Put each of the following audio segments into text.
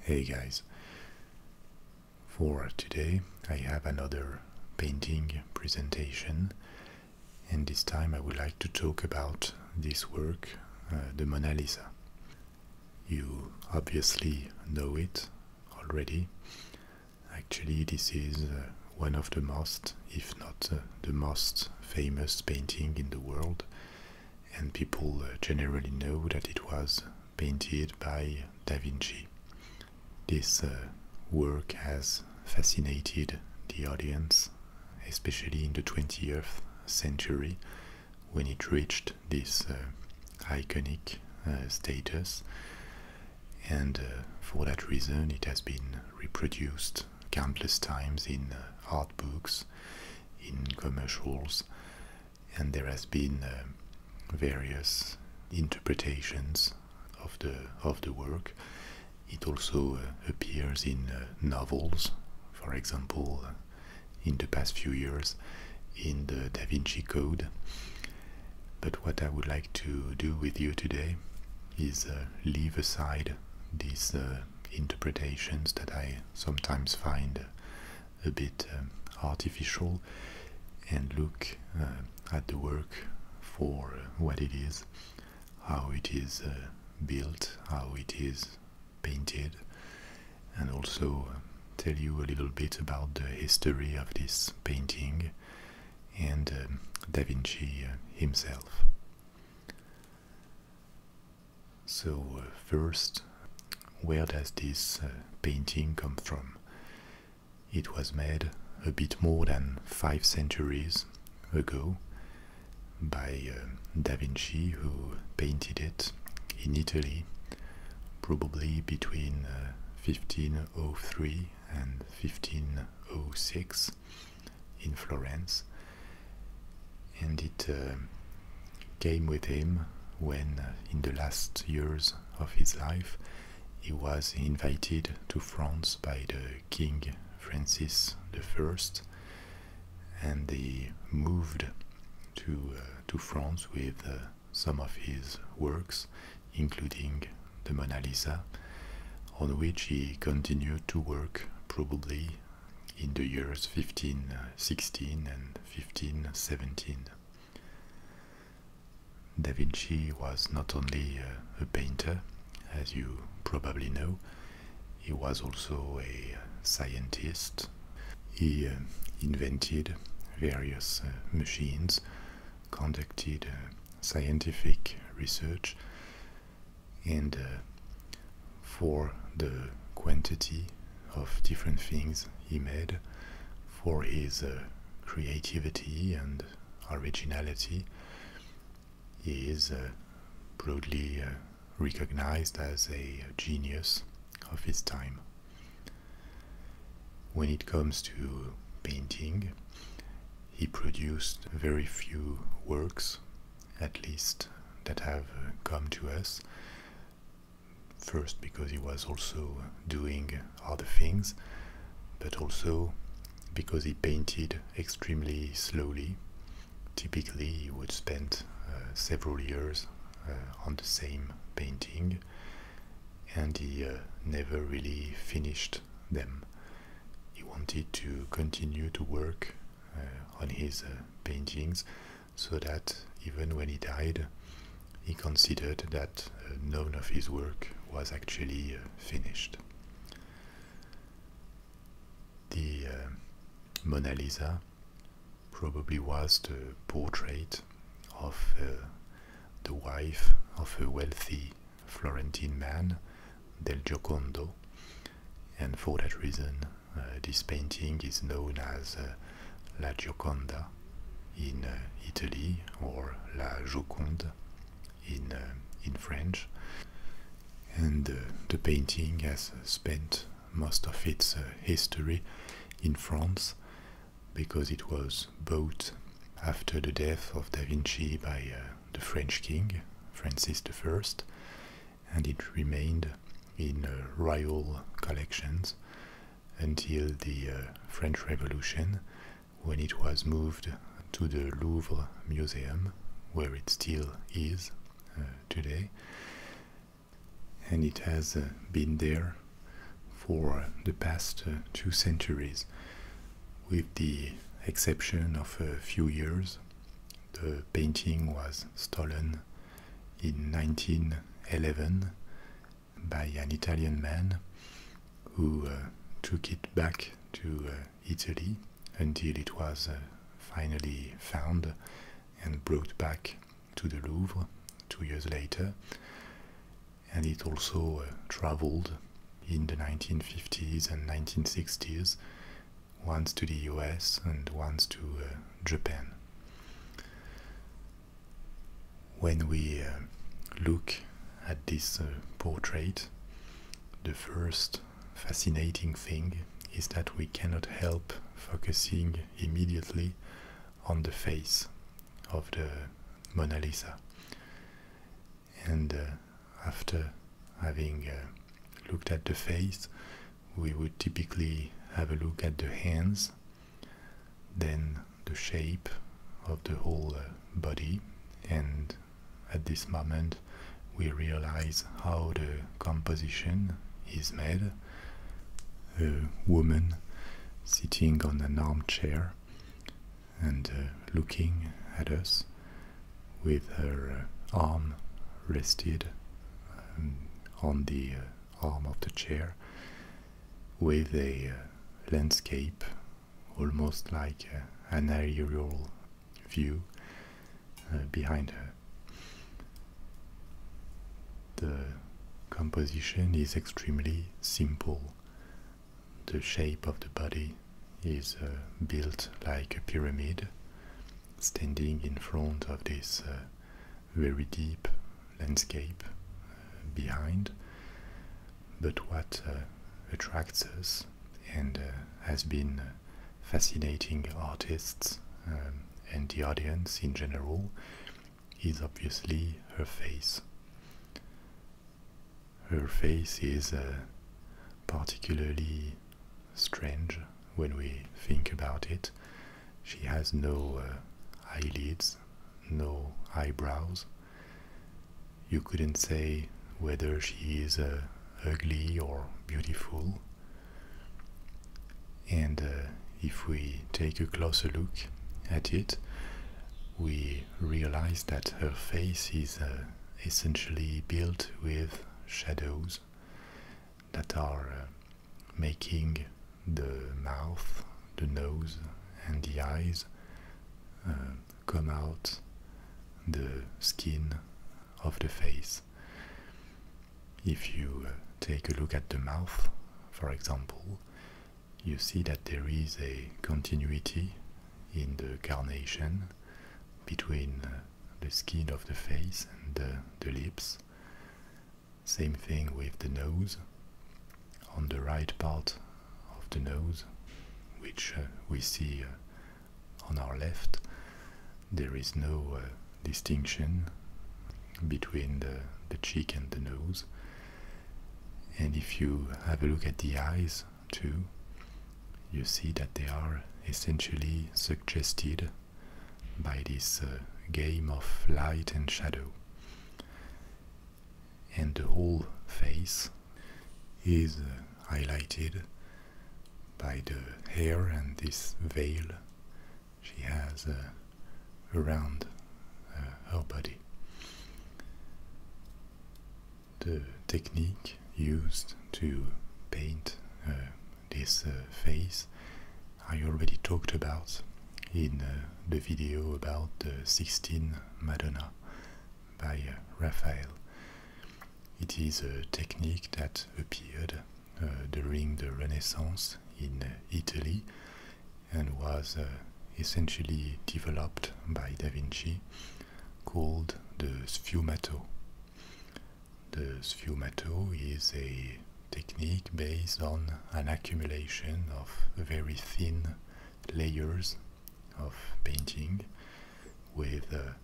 Hey guys, for today I have another painting presentation, and this time I would like to talk about this work, uh, the Mona Lisa. You obviously know it already. Actually, this is uh, one of the most, if not uh, the most famous painting in the world, and people uh, generally know that it was painted by Da Vinci. This uh, work has fascinated the audience, especially in the 20th century when it reached this uh, iconic status, and for that reason, it has been reproduced countless times in art books, in commercials, and there has been uh, various interpretations of the of the work. It also uh, appears in uh, novels, for example, in the past few years, in the Da Vinci Code. But what I would like to do with you today is leave aside these interpretations that I sometimes find a bit um, artificial and look uh, at the work for uh, what it is, how it is uh, built, how it is painted, and also tell you a little bit about the history of this painting and um, Da Vinci himself. So, uh, first, where does this uh, painting come from? It was made a bit more than five centuries ago by uh, Da Vinci, who painted it in Italy, probably between 1503 and 1506 in Florence and it uh, came with him when, uh, in the last years of his life, he was invited to France by the King Francis I, and they moved to uh, to France with some of his works, including the Mona Lisa, on which he continued to work probably in the years 1516 uh, and 1517. Da Vinci was not only uh, a painter, as you probably know, he was also a uh, scientist. He invented various machines, conducted scientific research, and for the quantity of different things he made, for his uh, creativity and originality. He is uh, broadly uh, recognized as a genius of his time. When it comes to painting, he produced very few works, at least that have come to us. First, because he was also doing other things, but also because he painted extremely slowly. Typically, he would spend uh, several years uh, on the same painting and he uh, never really finished them. He wanted to continue to work on his paintings so that even when he died, he considered that uh, none of his work was actually uh, finished. The uh, Mona Lisa probably was the portrait of the wife of a wealthy Florentine man, Del Giocondo, and for that reason uh, this painting is known as uh, La Gioconda in uh, Italy or La Joconde in, in French. And the painting has spent most of its history in France because it was bought after the death of Da Vinci by the French king, Francis I, and it remained in uh, royal collections until the uh, French Revolution when it was moved to the Louvre Museum, where it still is uh, today. And it has been there for the past two centuries, with the exception of a few years. The painting was stolen in 1911 by an Italian man who uh, took it back to uh, Italy until it was uh, finally found and brought back to the Louvre two years later. And it also traveled in the 1950s and 1960s once to the US and once to uh, Japan. When we uh, look at this uh, portrait, the first fascinating thing is that we cannot help focusing immediately on the face of the Mona Lisa. And after having looked at the face, we would typically have a look at the hands, then the shape of the whole uh, body, and at this moment we realize how the composition is made. A woman sitting on an armchair and uh, looking at us with her uh, arm rested um, on the uh, arm of the chair with a uh, landscape almost like uh, an aerial view behind her. The composition is extremely simple. The shape of the body is built like a pyramid, standing in front of this very deep landscape uh, behind. But what uh, attracts us and uh, has been fascinating artists um, and the audience in general is obviously her face. Her face is particularly strange when we think about it. She has no uh, eyelids, no eyebrows. You couldn't say whether she is uh, ugly or beautiful. And uh, if we take a closer look at it, we realize that her face is essentially built with shadows that are making the mouth, the nose, and the eyes uh, come out the skin of the face. If you uh, take a look at the mouth, for example, you see that there is a continuity in the carnation between uh, the skin of the face and the lips same thing with the nose, on the right part of the nose, which uh, we see uh, on our left, there is no uh, distinction between the cheek and the nose. And if you have a look at the eyes too, you see that they are essentially suggested by this uh, game of light and shadow. And the whole face is uh, highlighted by the hair and this veil she has uh, around her body. The technique used to paint this uh, phase I already talked about in uh, the video about the uh, 16 Madonna by Raphael. It is a technique that appeared during the Renaissance in Italy and was essentially developed by Da Vinci, called the sfumato the sfumato is a technique based on an accumulation of very thin layers of painting with a,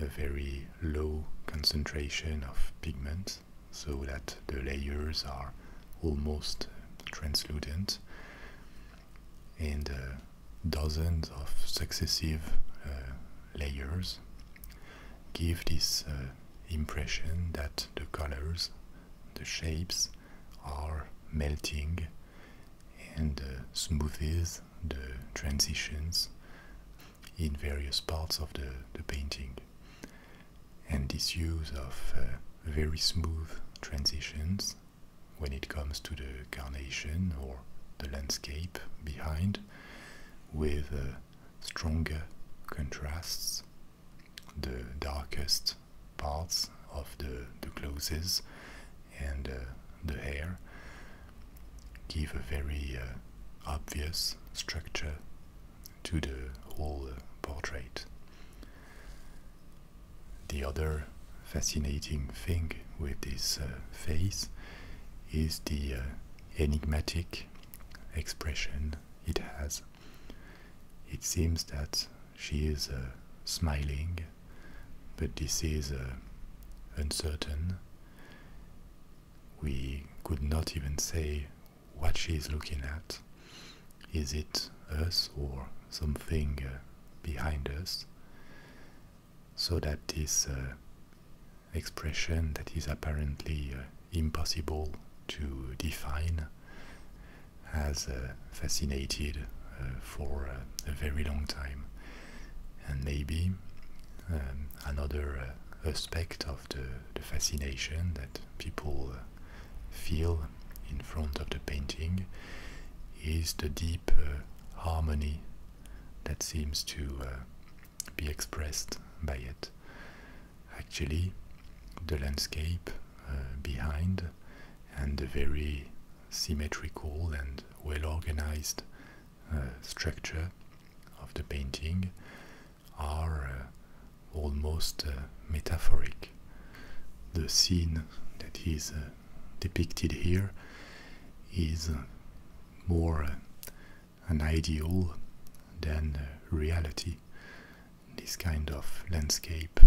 very low concentration of pigment so that the layers are almost translucent and uh, dozens of successive uh, layers give this uh, impression that the colors, the shapes are melting and uh, the transitions in various parts of the, painting. And this use of uh, very smooth transitions when it comes to the carnation or the landscape behind with uh, stronger contrasts. The darkest parts of the, the clothes and uh, the hair give a very uh, obvious structure to the whole uh, portrait. The other fascinating thing with this face is the enigmatic expression it has. It seems that she is uh, smiling, but this is uh, uncertain. We could not even say what she is looking at. Is it us or something uh, behind us? So that is expression that is apparently uh, impossible to define, has uh, fascinated uh, for a very long time. And maybe um, another aspect of the, fascination that people feel in front of the painting is the deep harmony that seems to be expressed by it. Actually, the landscape uh, behind and the very symmetrical and well organized uh, structure of the painting are uh, almost metaphoric. The scene that is depicted here is more an ideal than reality. This kind of landscape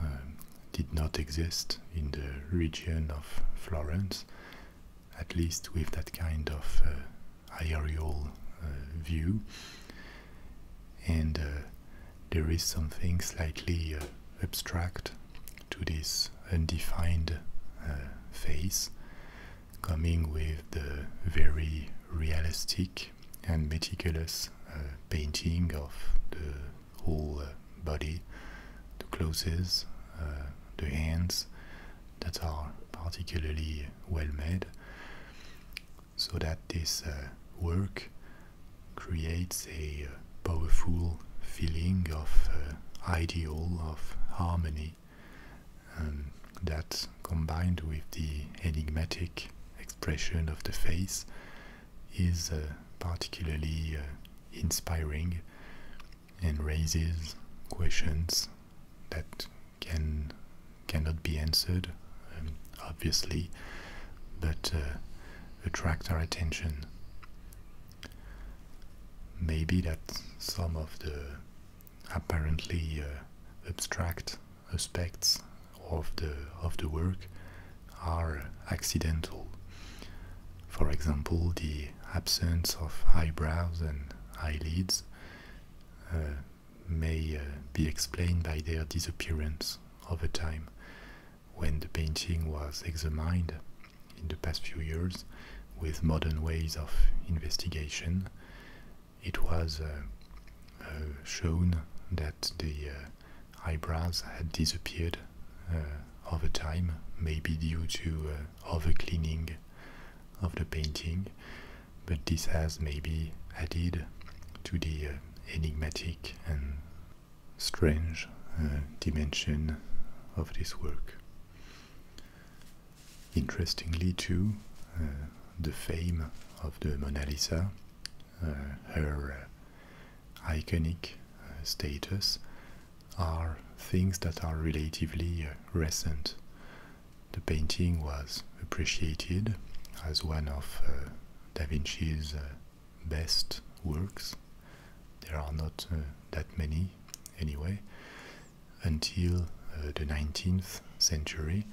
um, did not exist in the region of Florence, at least with that kind of uh, aerial uh, view. And uh, there is something slightly abstract to this undefined face coming with the very realistic and meticulous uh, painting of the whole uh, body, the clothes, uh, the hands that are particularly well made, so that this work creates a powerful feeling of ideal, of harmony story. Um, that combined with the enigmatic expression of the face is uh, particularly uh, inspiring and raises questions that can cannot be answered um, obviously but uh, attract our attention maybe that some of the apparently uh, abstract aspects of the of the work are accidental. For example, the absence of eyebrows and eyelids uh, may uh, be explained by their disappearance over time. When the painting was examined in the past few years, with modern ways of investigation, it was uh, uh, shown that the uh, eyebrows had disappeared over time, maybe due to uh, overcleaning of the painting, but this has maybe added to the enigmatic and strange dimension of this work. Interestingly, too, uh, the fame of the Mona Lisa, uh, her uh, iconic status, are things that are relatively recent. The painting was appreciated as one of Da Vinci's best works. There are not that many, anyway, until uh, the 19th century,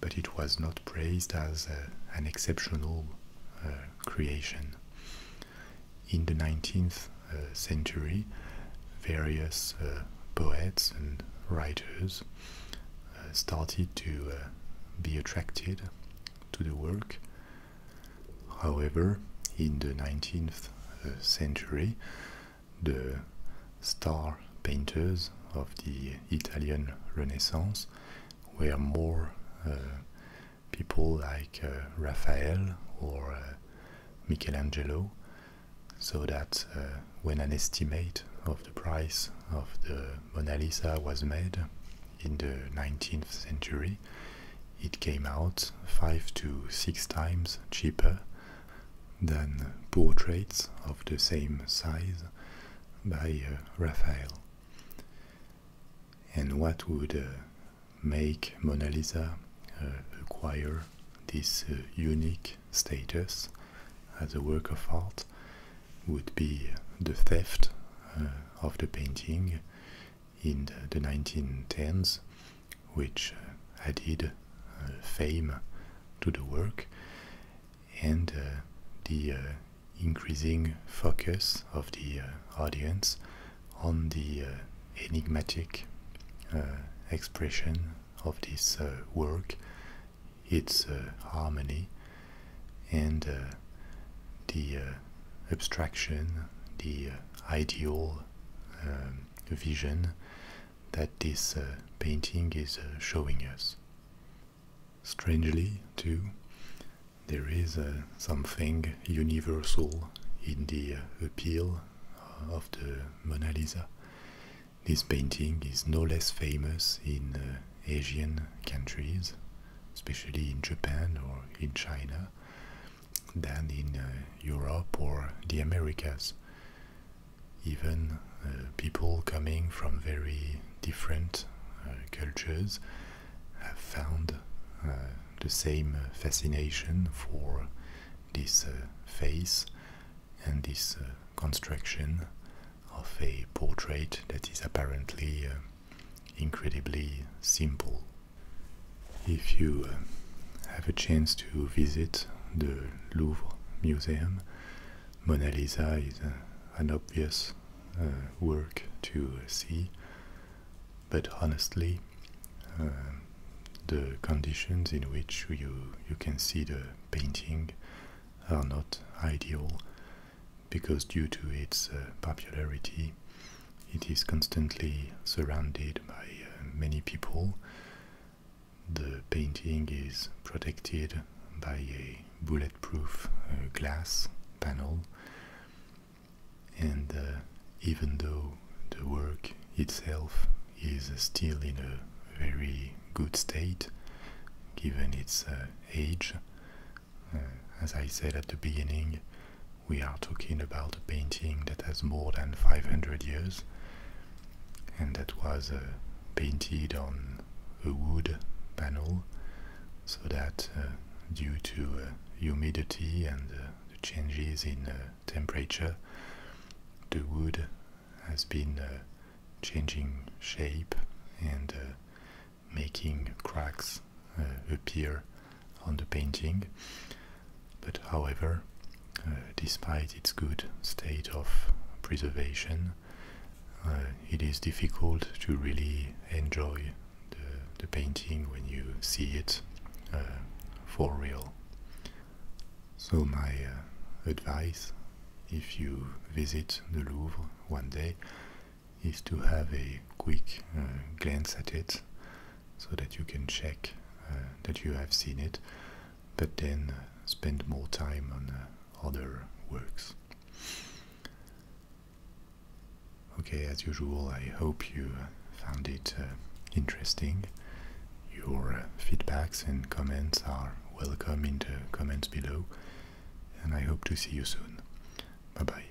but it was not praised as uh, an exceptional uh, creation. In the 19th century, various poets and writers started to be attracted to the work. However, in the 19th century, the star painters of the Italian Renaissance were more uh, people like uh, Raphael or uh, Michelangelo, so that when an estimate of the price of the Mona Lisa was made in the 19th century, it came out five to six times cheaper than portraits of the same size by uh, Raphael. And what would uh, make Mona Lisa uh, acquire this unique status as a work of art would be the theft of the painting in the 1910s which uh, added uh, fame to the work, and uh, the increasing focus of the audience on the enigmatic expression of this work, its harmony, and the abstraction, the ideal um, vision that this uh, painting is uh, showing us. Strangely, too, there is uh, something universal in the appeal of the Mona Lisa. This painting is no less famous in Asian countries, especially in Japan or in China, than in uh, Europe or the Americas. Even uh, people coming from very different uh, cultures have found the same fascination for this face and this construction of a portrait that is apparently incredibly simple. If you uh, have a chance to visit the Louvre Museum, Mona Lisa is uh, an obvious uh, work to see, but honestly, the conditions in which you, you can see the painting are not ideal because due to its popularity it is constantly surrounded by many people the painting is protected by a bulletproof uh, glass panel, and uh, even though the work itself is still in a very good state, given its uh, age, as I said at the beginning, we are talking about a painting that has more than 500 years and that was uh, painted on a wood panel so that uh, due to uh, humidity and the changes in temperature the wood has been changing shape and making cracks appear on the painting. But however, uh, despite its good state of preservation, uh, it is difficult to really enjoy the, painting when you see it uh, for real. So my advice, if you visit the Louvre one day, is to have a quick glance at it so that you can check uh, that you have seen it, but then uh, spend more time on uh, other works. Okay, as usual, I hope you found it interesting. Your feedbacks and comments are welcome in the comments below, and I hope to see you soon. Bye bye.